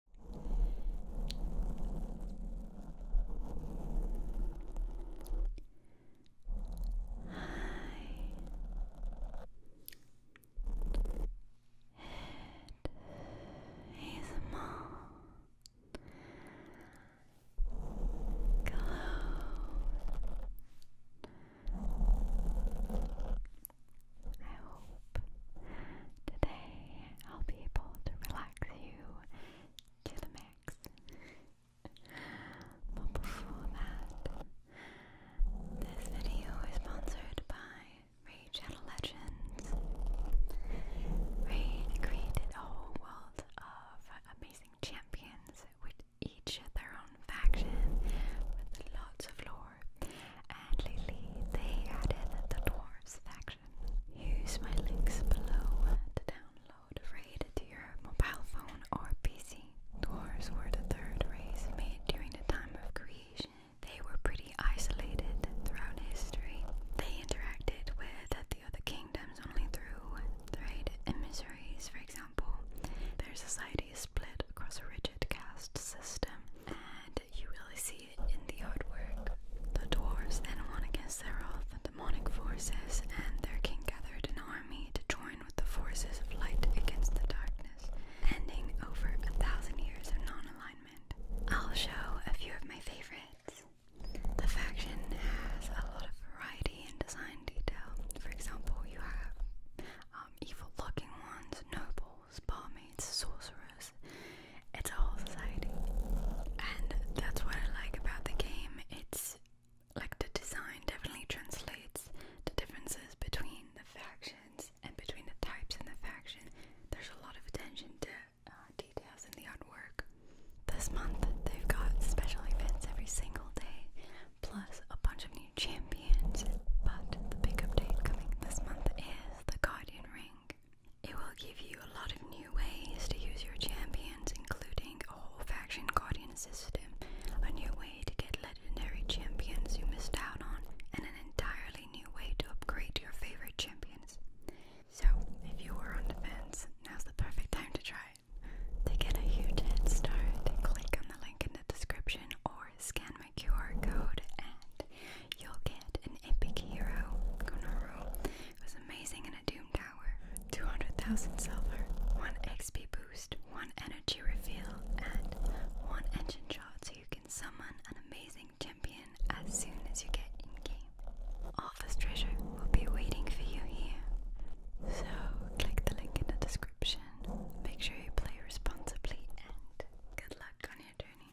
It is more close. I hope today I'll be able to relax you to the max. But before that, this video is sponsored by Ray Channel Legends. Ray created a whole world of amazing champions with each their own faction with lots of lore. And lately they added the dwarves faction. Use my links below to download RAID to your mobile phone or PC. Dwarves were the third race made during the time of creation. They were pretty isolated throughout history. They interacted with the other kingdoms only through trade and miseries, for example. Their society split across a rigid caste system and you really see it in the artwork. The dwarves then won against their all the demonic forces, and their king gathered an army to join with the forces of light against the darkness, ending over a thousand years of non-alignment. I'll show a few of my favorites. The faction has a lot of variety in design detail. For example, you have um, evil-looking ones, nobles, barmaids, sorcerers, it's a whole society. And that's what I like about the game. It's like the design definitely translates the differences between the factions and between the types in the faction. There's a lot of attention to uh, details in the artwork. This month they've got special events every single day, plus a bunch of new champions. But the big update coming this month is the Guardian Ring. It will give you a lot of new ways to use your champions, including a whole faction guardian system, a new way to get legendary champions you missed out on, and an entirely new way to upgrade your favorite champions. So, if you were on the fence, now's the perfect time to try it. To get a huge head start, click on the link in the description or scan my QR code and you'll get an epic hero, It was amazing in a Doom Tower, 200,000 silver, 1 XP boost, 1 energy reveal, and 1 engine shot so you can summon an amazing champion as soon as you get in-game. All this treasure will be waiting for you here. So, click the link in the description, make sure you play responsibly, and good luck on your journey.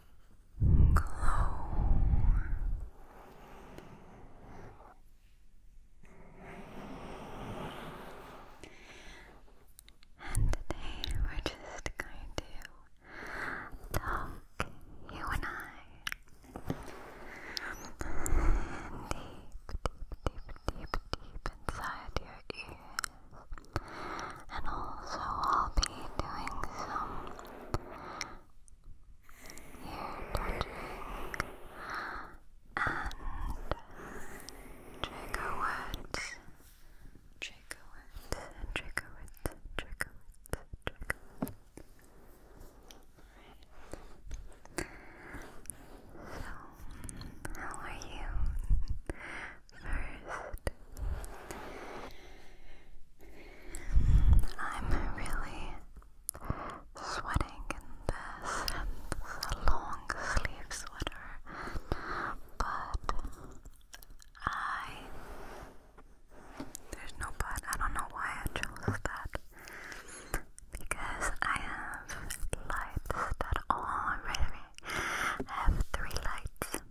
glow. And today we're just going to talk, you and I, deep, deep, deep, deep, deep inside your ear and also I'll be doing some ear touching and trigger words. Trigger words, trigger words, trigger words, trigger So, how are you? first. I'm really sweating in this. long sleeve sweater, but I. There's no but. I don't know why I chose that. Because I have lights that all. Right have three lights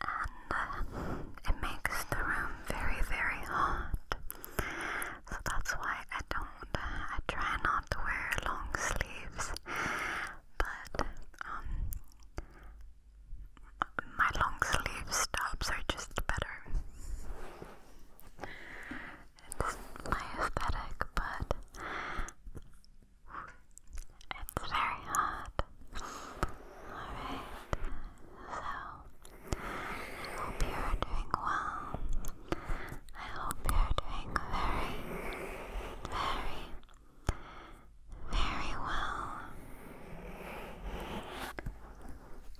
and uh, it makes the room very, very hot. So that's why I don't, uh, I try not to wear long sleeves, but um, my long sleeve stops are just better. It's my aesthetic, but it's very hot. Alright, so I hope you are doing well. I hope you are doing very, very, very well.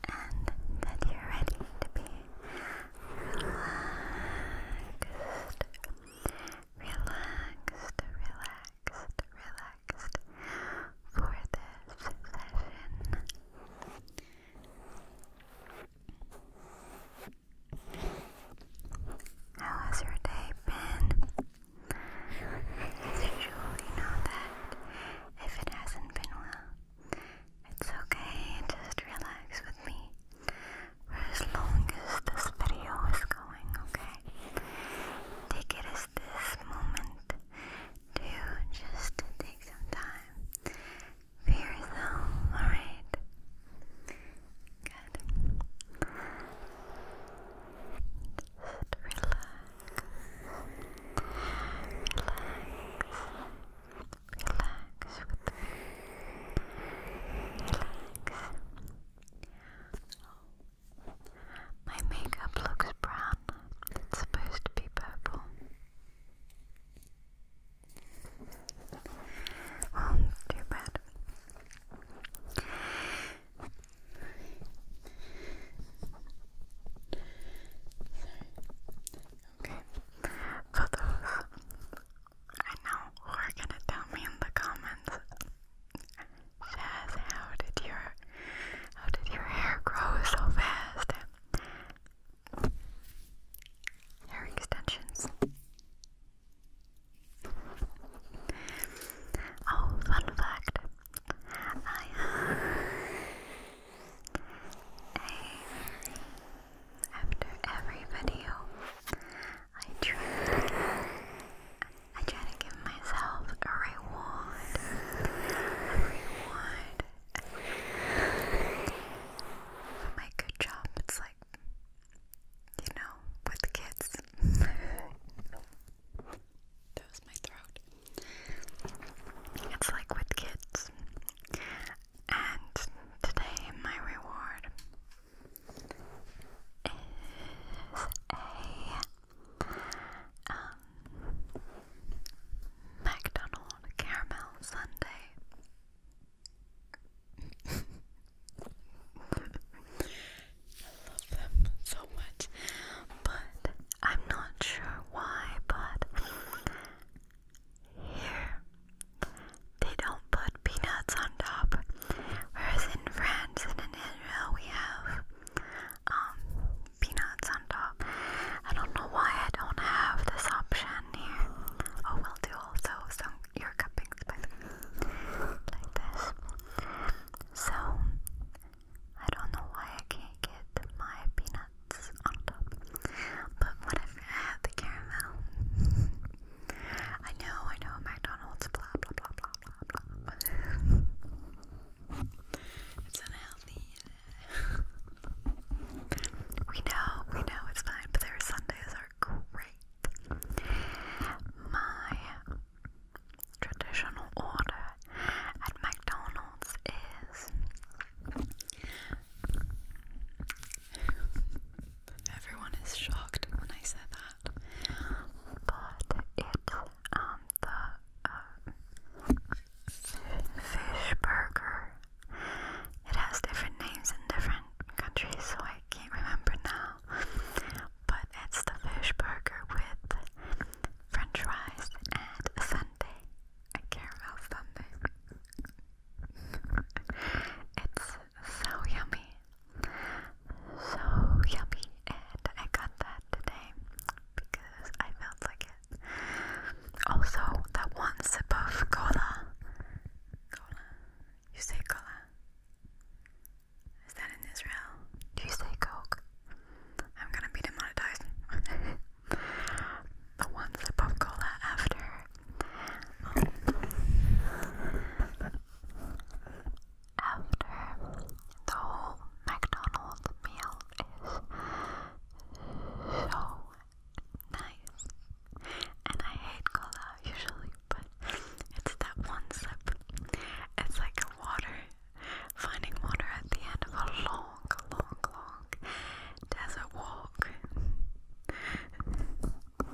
And that you're ready to be relaxed, relaxed, relaxed relaxed, for this session. How has your day been? As usual, you know that if it hasn't been well, it's okay, just relax with me. For as long as this video is going going, okay? Take it as this moment to just take some time for yourself, alright? Good. Just relax. Relax. Relax. My makeup looks brown. It's supposed to be purple. Well, oh, too bad. Okay. For I know who are gonna tell me in the comments Shaz, how did your how did your hair grow so fast? Hair extensions. Oh, fun fact. I after every video I try I try to give myself a reward. my good job, it's like, you know, with kids. that was my throat. It's like with kids. And today, my reward is a um, caramel sundae. I love them so much, but I'm not sure why, but here they don't put peanuts on top. Whereas in France and in Israel we have um, peanuts on top. I don't know why I don't have this option here. Oh, we'll do also some ear cuppings like this. So I don't know why I can't get my peanuts on top. But what if I had the caramel? I know, I know, McDonald's, blah blah blah blah it's unhealthy. we know, we know it's fine, but their Sundays are great. My traditional order at McDonald's is everyone is shocked when I said that. But it's um uh, fish burger. It has different names in different countries, so I can't remember now. But it's the fish burger with French fries and a sundae. I care sundae. it's so yummy so yummy, and I got that today because I felt like it. Also, that one sip of cola. Cola? You say cola? Is that in Israel? Do you say coke? I'm gonna be demonetized. the one sip of cola after. Um, after the whole McDonald's meal is so nice. And I hate cola usually, but it's that one sip. It's like water, finding water at the end of a long, long, long desert walk. okay,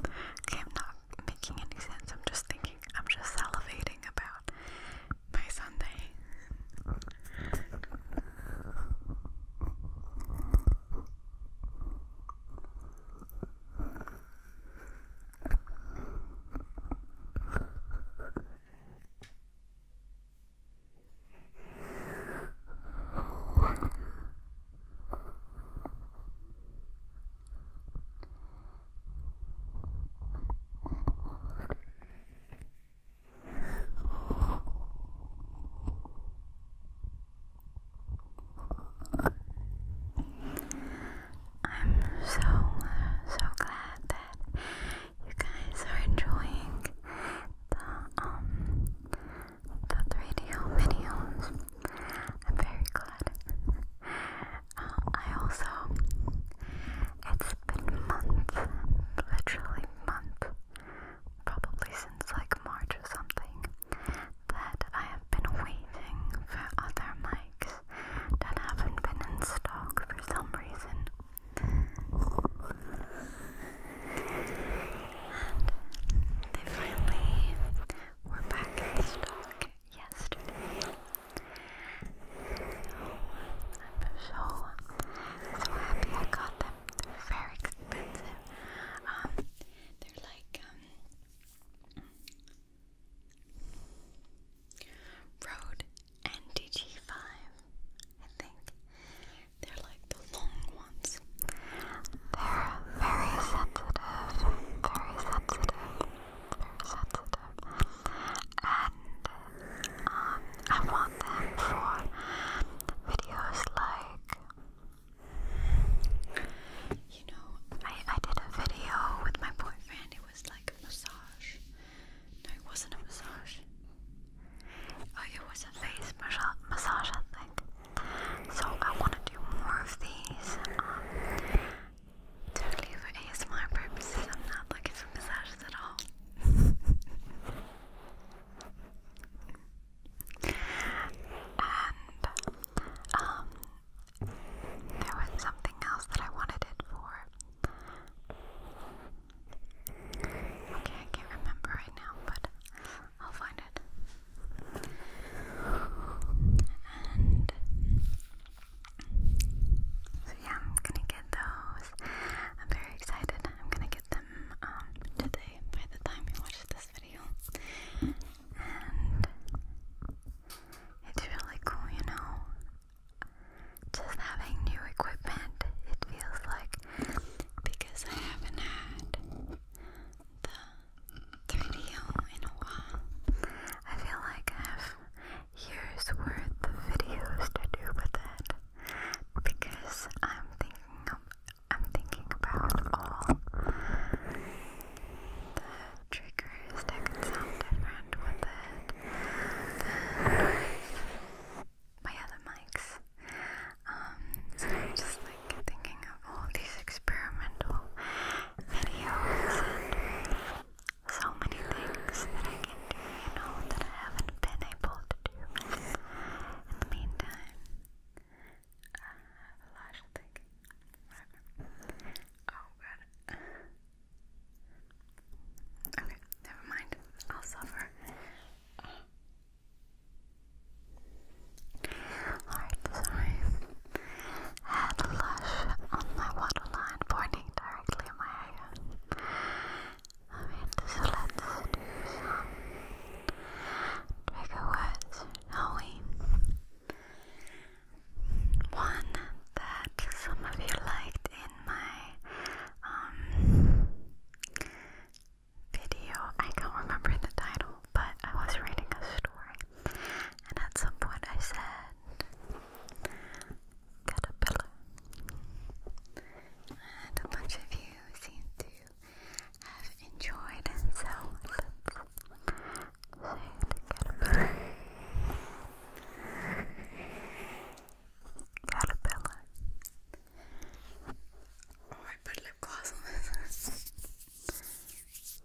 I'm not making any sense. I'm just thinking, I'm just salivating about my Sunday. I'm so, so glad that you guys are enjoying the, um, the 3D home videos. I'm very glad. I also, it's been month, literally month, probably since like March or something, that I have been waiting for other mics that haven't been in stock for some reason. And they finally were back in stock yesterday. I'm so, so happy I got them. They're very expensive. Um, they're like, um, Rode NDG5, I think. They're like the long ones. They're very sensitive, very sensitive sensitive. And um, I want them for videos like, you know, I, I did a video with my boyfriend. It was like a massage. No, it wasn't a massage. Oh, it was a face massage, I think. So I want to do more of these. Um, Totally for ASMR purposes, I'm not looking for massages at all. and um there was something else that I wanted it for. Okay, I can't remember right now, but I'll find it. And so yeah, I'm gonna get those. I'm very excited. I'm gonna get them um, today by the time you watch this video. And it's really cool, you know. Just having new equipment, it feels like because I haven't had the 3DO in a while. I feel like I've Here's where the videos to do with it because I'm thinking I'm thinking about all the triggers that can sound different with it my other mics. Um, so I'm just like thinking of all these experimental videos so many things that I can do, you know, that I haven't been able to do. In the meantime, I have a lot of Oh god. Okay, never mind. I'll suffer. Alright, sorry. Had a lush on my waterline pointing directly in my hair. I mean, so let's trigger words, shall One that some of you liked in my um video. I can't remember the title, but I was reading a story, and at some point I said caterpillar. And a bunch of you seem to have enjoyed, so caterpillar. Caterpillar. Oh, I put lip gloss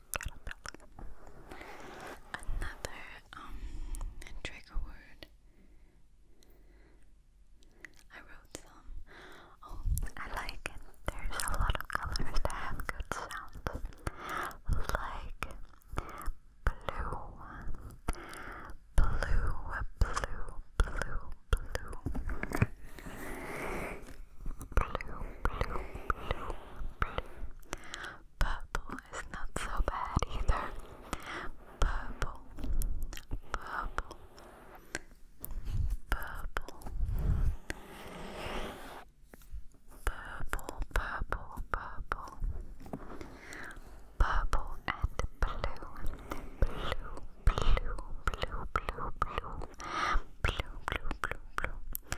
caterpillar. Another um trigger word. I wrote some. Oh, I like it. There's a lot of colors that have good sounds. Like blue, blue, blue, blue, blue, blue, blue, blue. Purple is not so bad either. Purple, purple, purple, purple, purple, purple, purple and blue, blue, blue, blue, blue, blue, blue, blue, blue, blue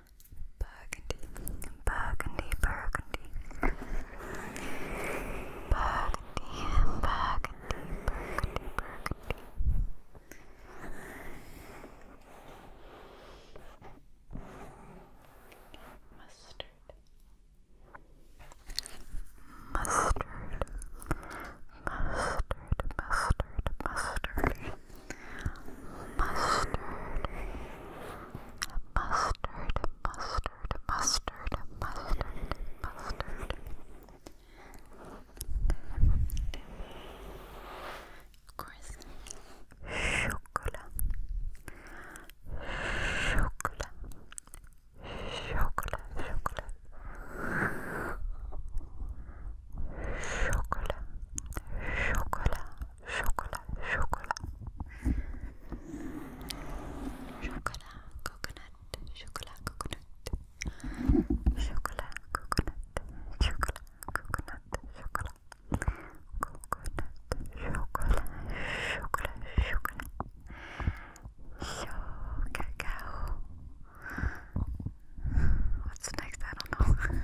burgundy, burgundy, burgundy, burgundy, burgundy, burgundy, burgundy. Mustard, mustard, mustard, mustard, mustard mustard, mustard, mustard, mustard, mustard, mustard. Of course, chocolate, chocolate, chocolate, chocolate chocolat, chocolat, chocolat, chocolat, chocolat, coconut, chocolat, coconut, chocolat, coconut, chocolat, coconut, chocolat, coconut, chocolat, chocolat, chocolat, cacao, What's next? I don't know.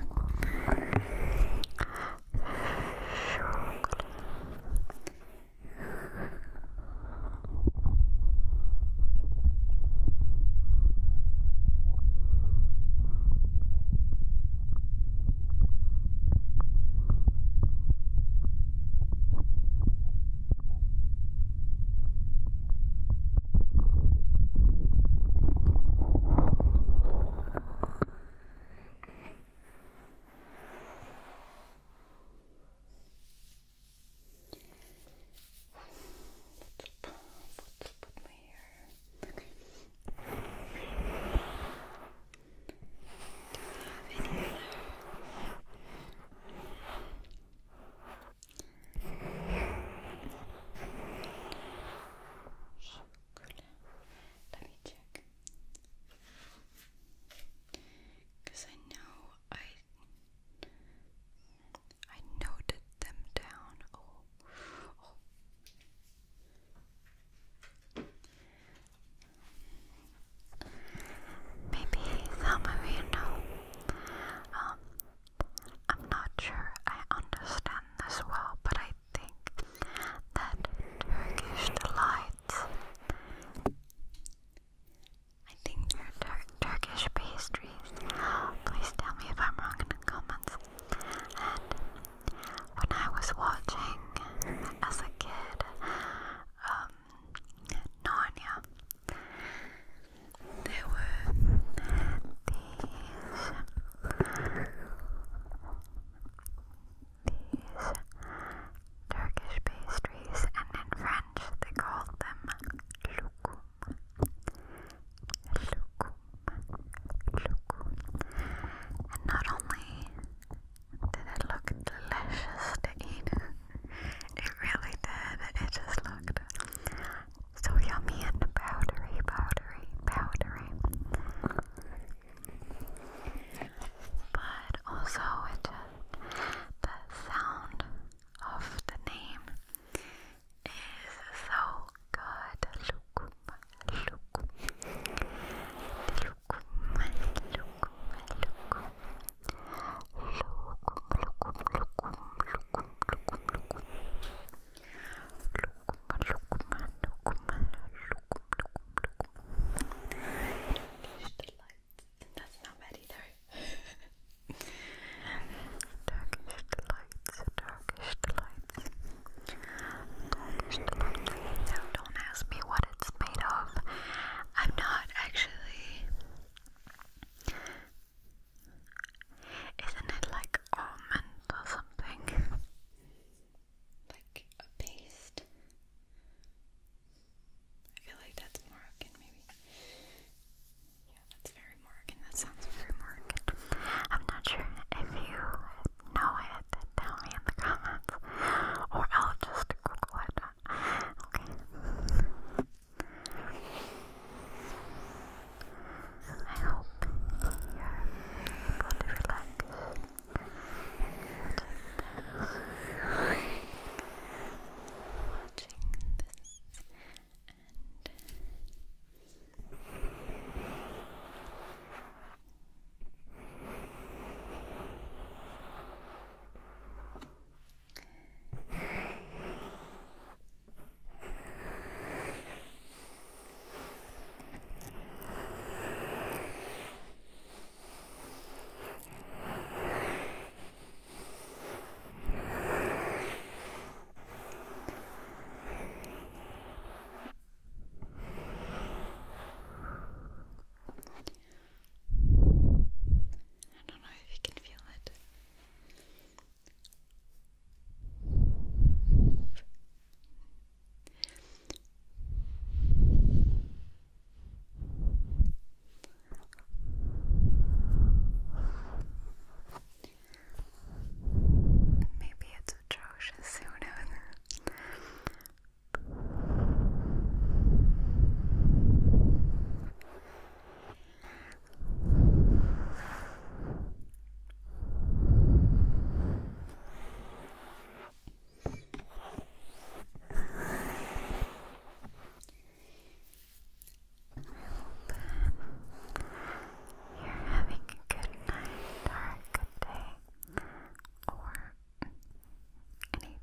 Let's put my hair. Okay. Do you have any other Cause I know I I noted them down. Oh, oh. Maybe you um, know, I'm not sure I understand this well, but I think that Turkish delights. I think they're Turkish pastries. Please tell me if I'm wrong in the comments. And when I was watching as a kid, um, Narnia, there were these Turkish pastries, and in French they call them loukoum. Loukoum. Loukoum. And not only did it look delicious to eat, it really did. It just looked so yummy and powdery, powdery, powdery. But also, just the sound of the name is so good. Look, look, look, look, look. Look, look, look, look, look, look, look the lights. That's not bad either. Turkish delights, Turkish delights, Turkish delights. Now, don't ask me what it's made of. I'm not actually. Isn't it like almond or something. Like a paste. I feel like that's Moroccan, maybe. Yeah, that's very Moroccan. That sounds very Moroccan. I'm not sure if you know it, tell me in the comments. Or I'll just Google it. Okay. I hope you're able to watching this and I don't know if you can feel it. Maybe it's atrocious, who knows? you're having a good night or a good day or anything.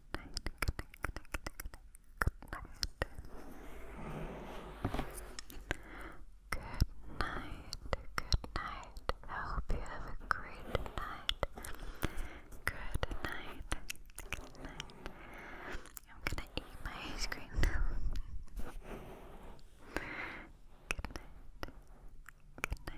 I hope you have a great night. Good night. Good night. I'm gonna eat my ice cream Good night. Good night.